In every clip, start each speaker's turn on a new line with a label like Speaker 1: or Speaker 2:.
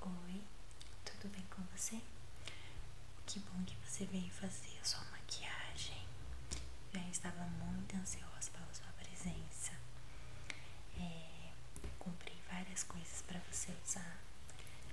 Speaker 1: Oi, tudo bem com você? Que bom que você veio fazer a sua maquiagem. Já estava muito ansiosa pela sua presença. É, comprei várias coisas para você usar,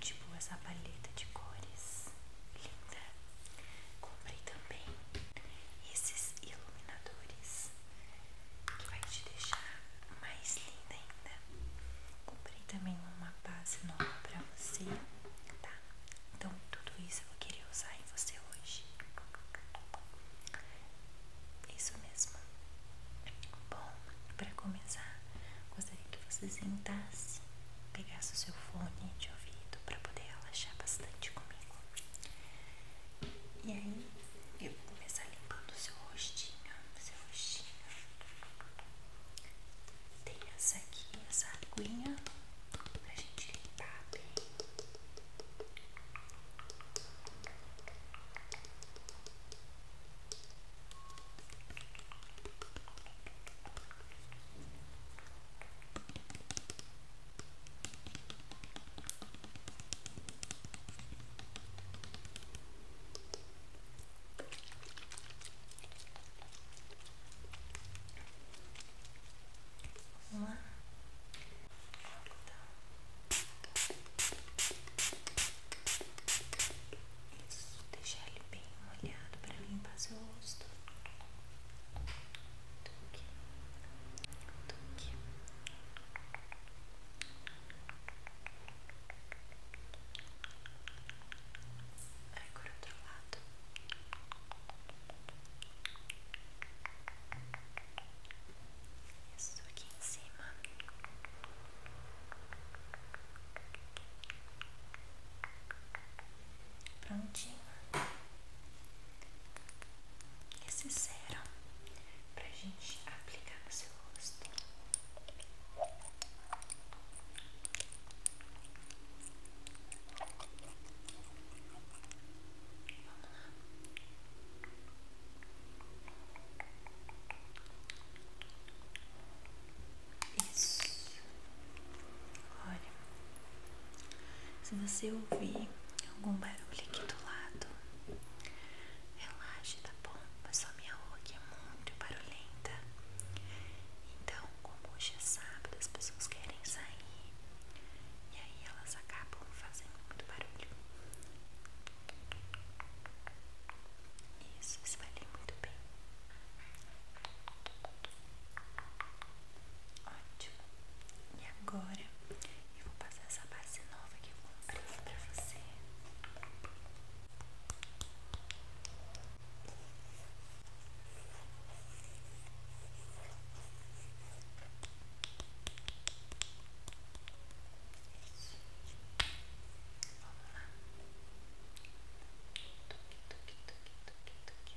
Speaker 1: tipo essa palheta de cores linda. Comprei também esses iluminadores que vai te deixar mais linda ainda. Comprei também uma base nova pra você,
Speaker 2: tá? Então, tudo isso eu vou querer usar em você hoje.
Speaker 1: Isso mesmo. Bom, pra começar, gostaria que você sentasse, pegasse o seu fone de ouvido pra poder relaxar bastante comigo. E aí eu vou começar limpando o seu rostinho, seu rostinho. Tem essa aqui, essa aguinha
Speaker 2: pra gente limpar bem.
Speaker 1: Vamos lá. Isso, deixar ele bem molhado para limpar o rosto. Tuque. Tuque. Agora outro lado. Isso aqui em cima. Prontinho esse sérum pra gente aplicar no seu rosto. Vamos lá. Isso. Olha, se você ouvir algum barulho aqui do lado, relaxe, tá bom? Mas só minha roupa aqui é muito barulhenta. Então, como hoje é sábado, as pessoas querem sair e aí elas acabam fazendo muito barulho. Isso, espalhei muito bem. Ótimo. E agora eu vou passar essa base nova que eu comprei pra você. Vamos lá.
Speaker 2: Tuque, tuque, tuque, tuque, tuque.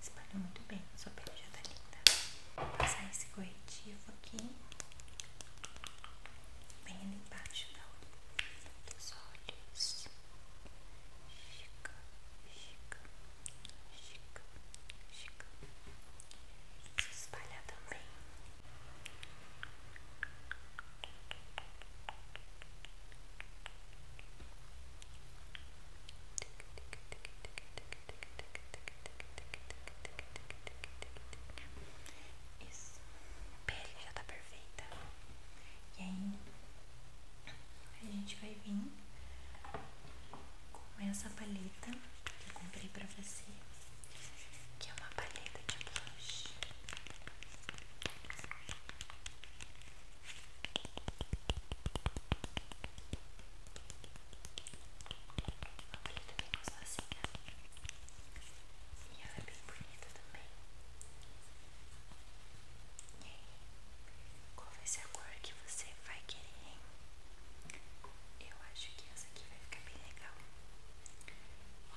Speaker 2: Espalhou muito bem, sua pele já tá linda. passar esse corretivo aqui, bem ali embaixo da, tá? dos olhos. Chica, chica, chica, chica. Se espalhar também.
Speaker 1: Isso, pele já tá perfeita. E aí, a gente vai vir com essa paleta que eu comprei pra você, que é uma paleta de blush. Uma paleta bem gostosinha. E ela é bem bonita também. E aí, qual vai ser a cor que você vai querer, hein? Eu acho que essa aqui vai ficar bem legal.
Speaker 2: Ó,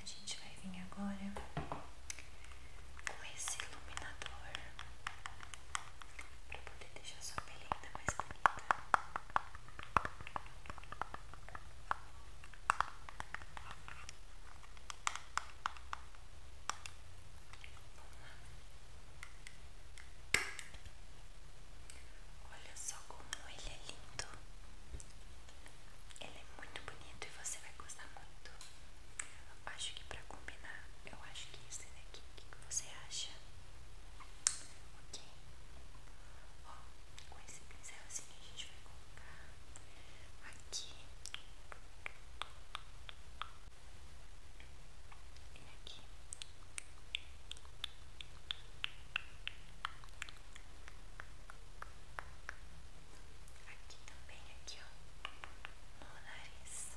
Speaker 2: A gente vai vir agora com esse iluminador para
Speaker 1: poder deixar sua pele ainda mais bonita. Olha só como ele é lindo. Ele é muito bonito e você vai gostar muito. Acho que pra combinar, eu acho que esse daqui, o que, você acha? Ok? Ó, com esse pincelzinho a gente vai colocar aqui e aqui. Aqui também, aqui ó, no nariz.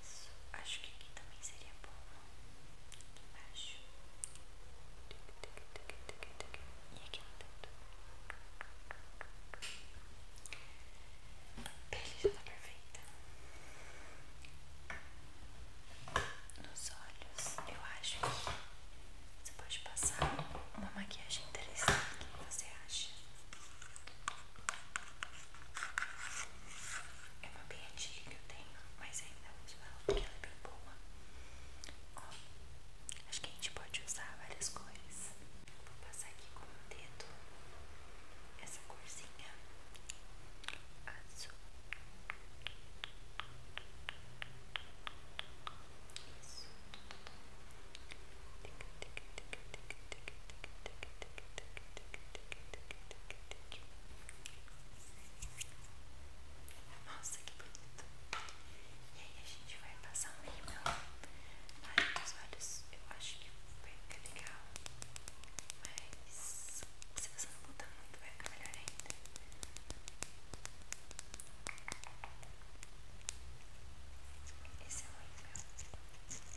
Speaker 1: Isso, acho que aqui também seria bom. Aqui embaixo. E aqui no dedo. Ele já tá perfeita nos olhos. Eu acho que você pode passar uma maquiagem interessante. O que você acha? É uma bem que eu tenho, mas ainda uso ela porque ela é bem boa. Ó, acho que a gente pode usar várias cores. Vou passar aqui com o dedo essa corzinha azul. Isso. Nossa, que bonito. E aí a gente vai passar um rímel os olhos. Eu acho que vai ficar legal. Mas se você não botar muito, vai ficar melhor ainda. Esse é horrível. Esse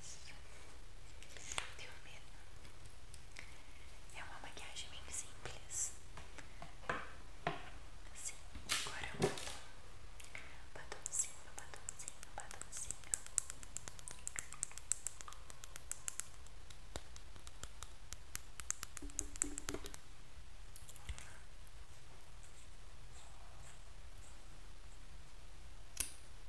Speaker 1: Isso. Deu medo. É uma maquiagem bem simples. Assim, agora é um batonzinho, batonzinho, batonzinho.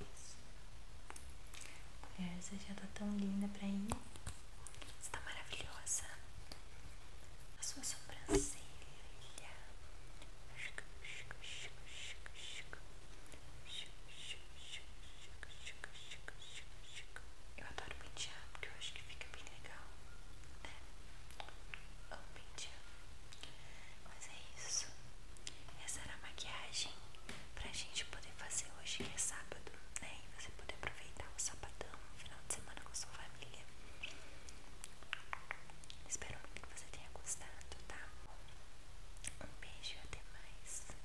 Speaker 1: Isso. É, Mulher, você já tá tão linda pra ir. Você tá maravilhosa. A sua sobrancelha.
Speaker 2: Eu adoro pentear porque eu acho que fica bem legal, né? Amo pentear.
Speaker 1: Mas é isso. Essa era a maquiagem pra gente poder fazer hoje, que é sábado, né? E você poder aproveitar o sabadão, o final de semana com sua família.
Speaker 2: Espero muito que você tenha gostado, tá? Um beijo e até mais.